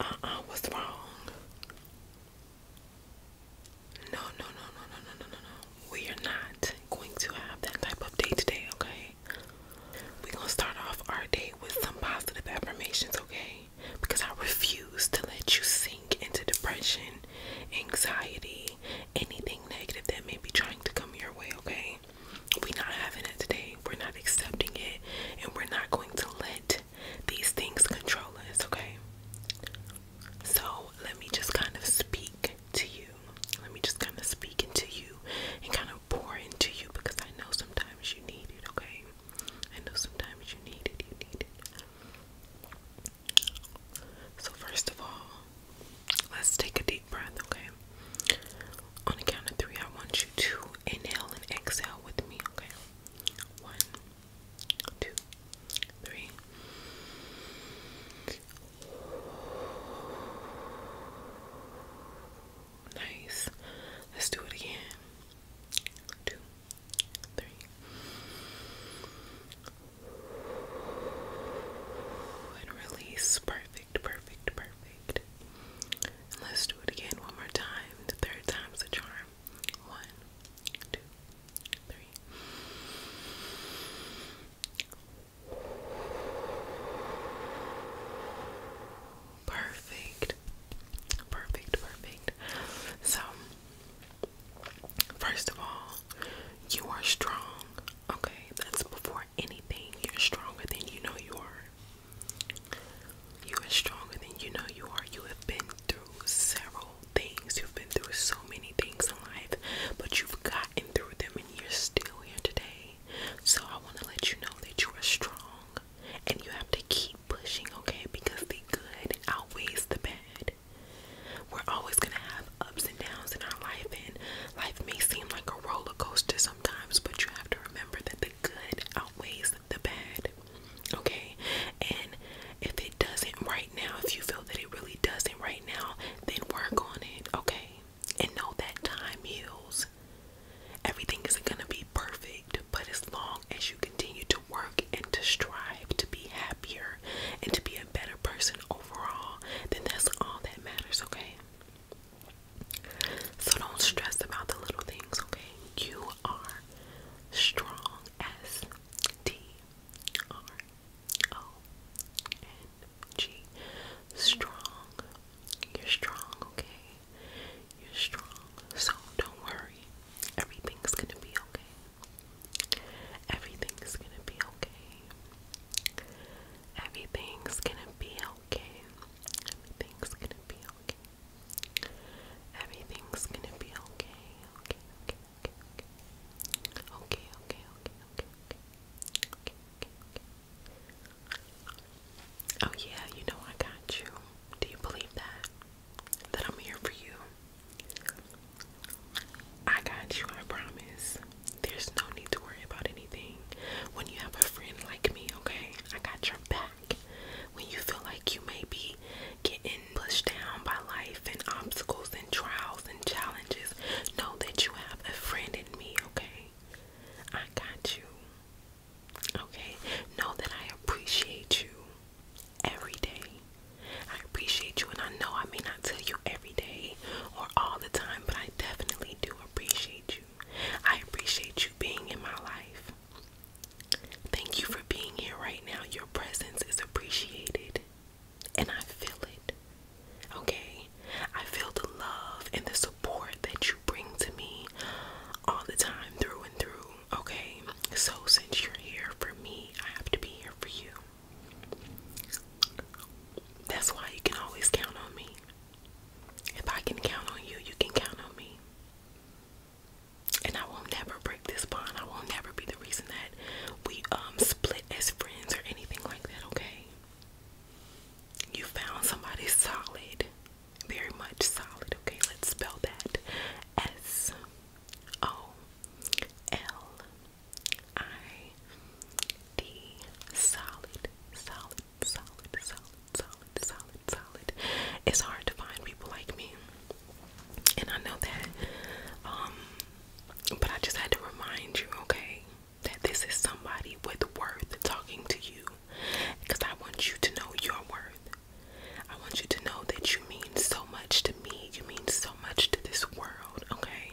Uh-uh, wrong? No, no, no, no, no, no, no, no, We are not going to have that type of day today, okay? We're gonna start off our day with some positive affirmations, okay? Because I refuse to let you sink into depression, anxiety, anything negative that may be trying to come your way, okay? We're not having it today. We're not accepting it. And we're not going to let these things control us, okay? So let me just kind of speak to you. Let me just kind of speak into you and kind of pour into you because I know sometimes you need it, okay? I know sometimes you need it. You need it. So, first of all, Let's take a deep breath, okay? On the count of three, I want you to inhale and exhale with me, okay? One, two, three. Nice. Let's do it again. Two, three. And release. Part perfect, perfect, perfect. let's do it again one more time. The third time's a charm. One, two, three. Perfect. Perfect, perfect. So, first of all, you are strong. Okay, that's before anything, you're stronger than you know you are. You are stronger than you know you are. You have been through several things. You've been through so many things in life, but you've gotten through them and you're still here today. So I want to let you know that you are strong and you have to keep pushing, okay? Because the good outweighs the bad. We're always going to have ups and downs in our life, and life may seem like a roller coaster sometimes, but you have to remember that the good outweighs the bad, okay? And if it doesn't right now, if you feel that it really doesn't right now, then work on it, okay? And know that time heals. Everything isn't going to be perfect, but as long as you continue to work and to strive to be happier and to be a better person overall, then that's all that matters, okay? So don't stress about the little things, okay? You are strong. S T R O N G. as Strong. You're strong, okay? You're strong. So don't worry. Everything's gonna be okay. Everything's gonna be okay. Everything's gonna be okay. Everything's gonna be okay. Everything's gonna be okay. Okay, okay, okay, okay. Okay, okay, okay, okay, okay. Oh yeah, you know I got you. Do you believe that? That I'm here for you. I got you, I promise there's no need to worry about anything when you have a friend like me, okay? I got your back. When you feel like you may be getting pushed down by life and obstacles and trials and challenges, know that you have a friend in me, okay? I got you. Okay? Know that I appreciate you every day. I appreciate you, and I know I may not tell you every day or all the time, but I definitely do appreciate you. I appreciate you being in my life. Thank you for being here right now. Your presence is appreciated, and I feel it. Okay? I feel the love and the support that you bring to me all the time, through and through. Okay? So, since you're here for me, I have to be here for you. That's why you can always count on me. If I can count on you, you can count on me. And I will never break this bond. I will never be the reason that we um split as friends or anything like that, okay? You found somebody solid. Very much solid, okay? Let's spell that. S O L I the solid, solid, solid, solid, solid, solid, solid. It's hard to find people like me, and I know that. Um, but I just had to remind you, okay, that this is somebody with worth talking to you, because I want you to know your worth. I want you to know that you mean so much to me. You mean so much to this world, okay?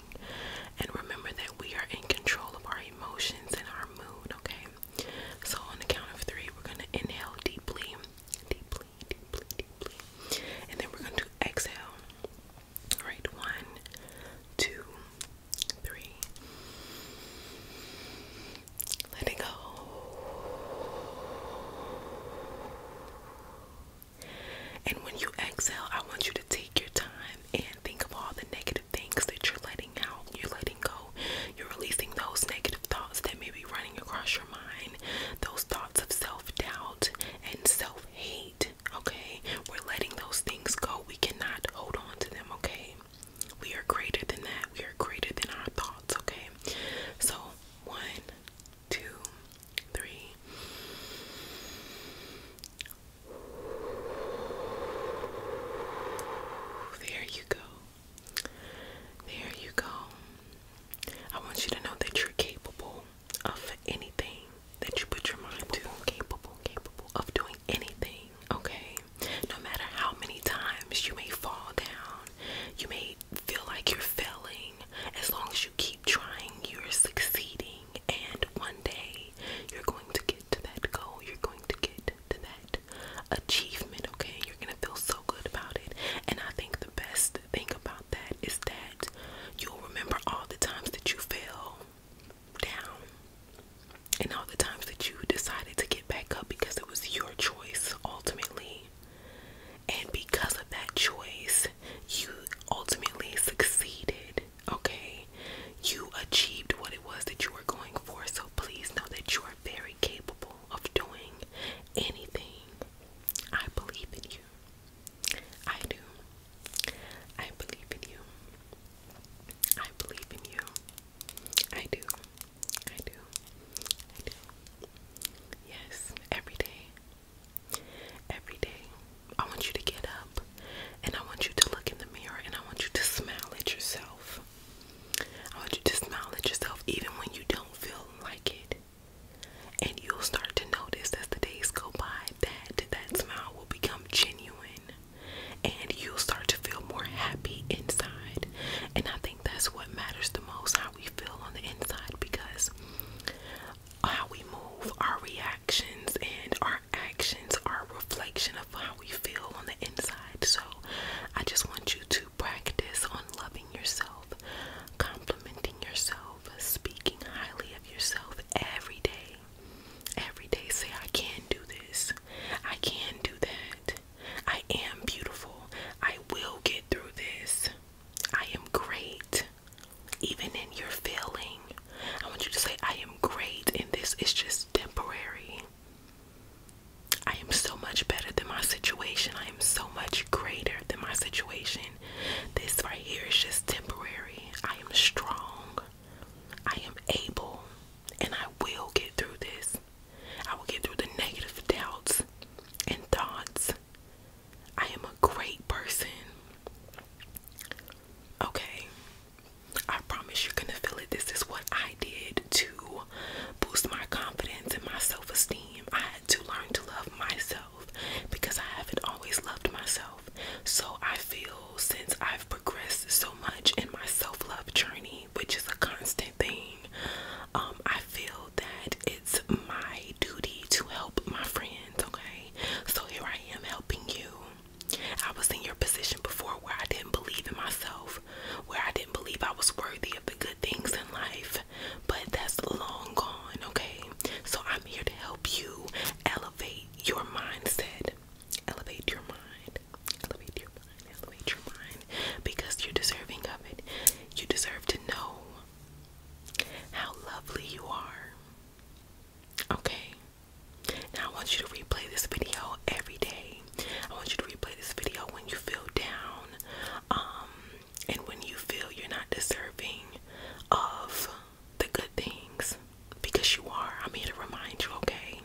And remember that we are in control of our emotions and our mood, okay? So, on the count of three, we're gonna inhale deeply, deeply, deeply, deeply, and then we're gonna exhale. All right, one, two, three. Let go. And when you exhale, I want you to take your time and think of all the negative things that you're letting out, you're letting go, you're releasing those negative thoughts that may be running across your mind, those thoughts of self doubt and self hate. Okay, we're letting those things go, we cannot hold on to them. Okay, we are greater than that, we are greater than our thoughts. Okay, so one, two, three. There you go. There you go. I want you to know that you're capable of anything that you put your mind to. Capable, capable of doing anything, okay? No matter how many times you may fall down, you may feel like you're failing, as long as you keep trying, you're succeeding, and one day you're going to get to that goal, you're going to get to that achievement, okay? You're gonna feel so good about it, and I think the best thing about that is that you'll remember all the times that you fell down and all the times that you decided to get back up because it was your choice ultimately. And because of that choice, you ultimately succeeded okay? You achieved what it was that you were going for, so please know that you are very capable of doing anything. I believe in you. I do. I believe in you. I believe in you. I do. I do. I do. Yes, every day. Every day, I want you to get up and I want you to look in the mirror and I want you to smile at yourself. I want you to smile at yourself even when you don't feel like it. And you'll start to notice as the days go by that that smile will become genuine and you'll start to feel more happy inside. And I think that's what matters the most how we feel on the inside because how we move, our reactions, and our actions are a reflection of how we feel on the inside. So I just want you to practice on loving yourself, complimenting yourself, speaking highly of yourself every day. Every day, say, I can do this, I can do that, I am beautiful, I will get through this, I am great even in your feeling. I want you to say, I am great, and this is just temporary. I am so much better than my situation. I am so much greater than my situation. This right here is just temporary. I am strong. I am able. And I will get through this. I will get through the negative doubts and thoughts. I am a great person. Okay. I promise you're gonna feel it. This is what I did to boost my confidence and my self esteem. I had to learn to love myself because I haven't always loved myself. So I feel since I've progressed so much in my self love journey, which is a constant thing, um, I feel that it's my duty to help my friends, okay? So here I am helping you. I was in your position before where I didn't believe in myself, where I didn't believe I was worthy of the good things in life, but that's long gone, okay? So I'm here to help you elevate your mindset. Elevate your mind. Elevate your mind. Elevate your mind because you're deserving of it. You deserve to know how lovely you are. Okay? I want you to replay this video every day. I want you to replay this video when you feel down, um, and when you feel you're not deserving of the good things because you are. I'm here to remind you, okay?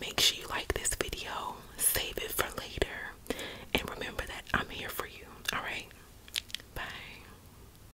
Make sure you like this video, save it for later, and remember that I'm here for you, alright? Bye.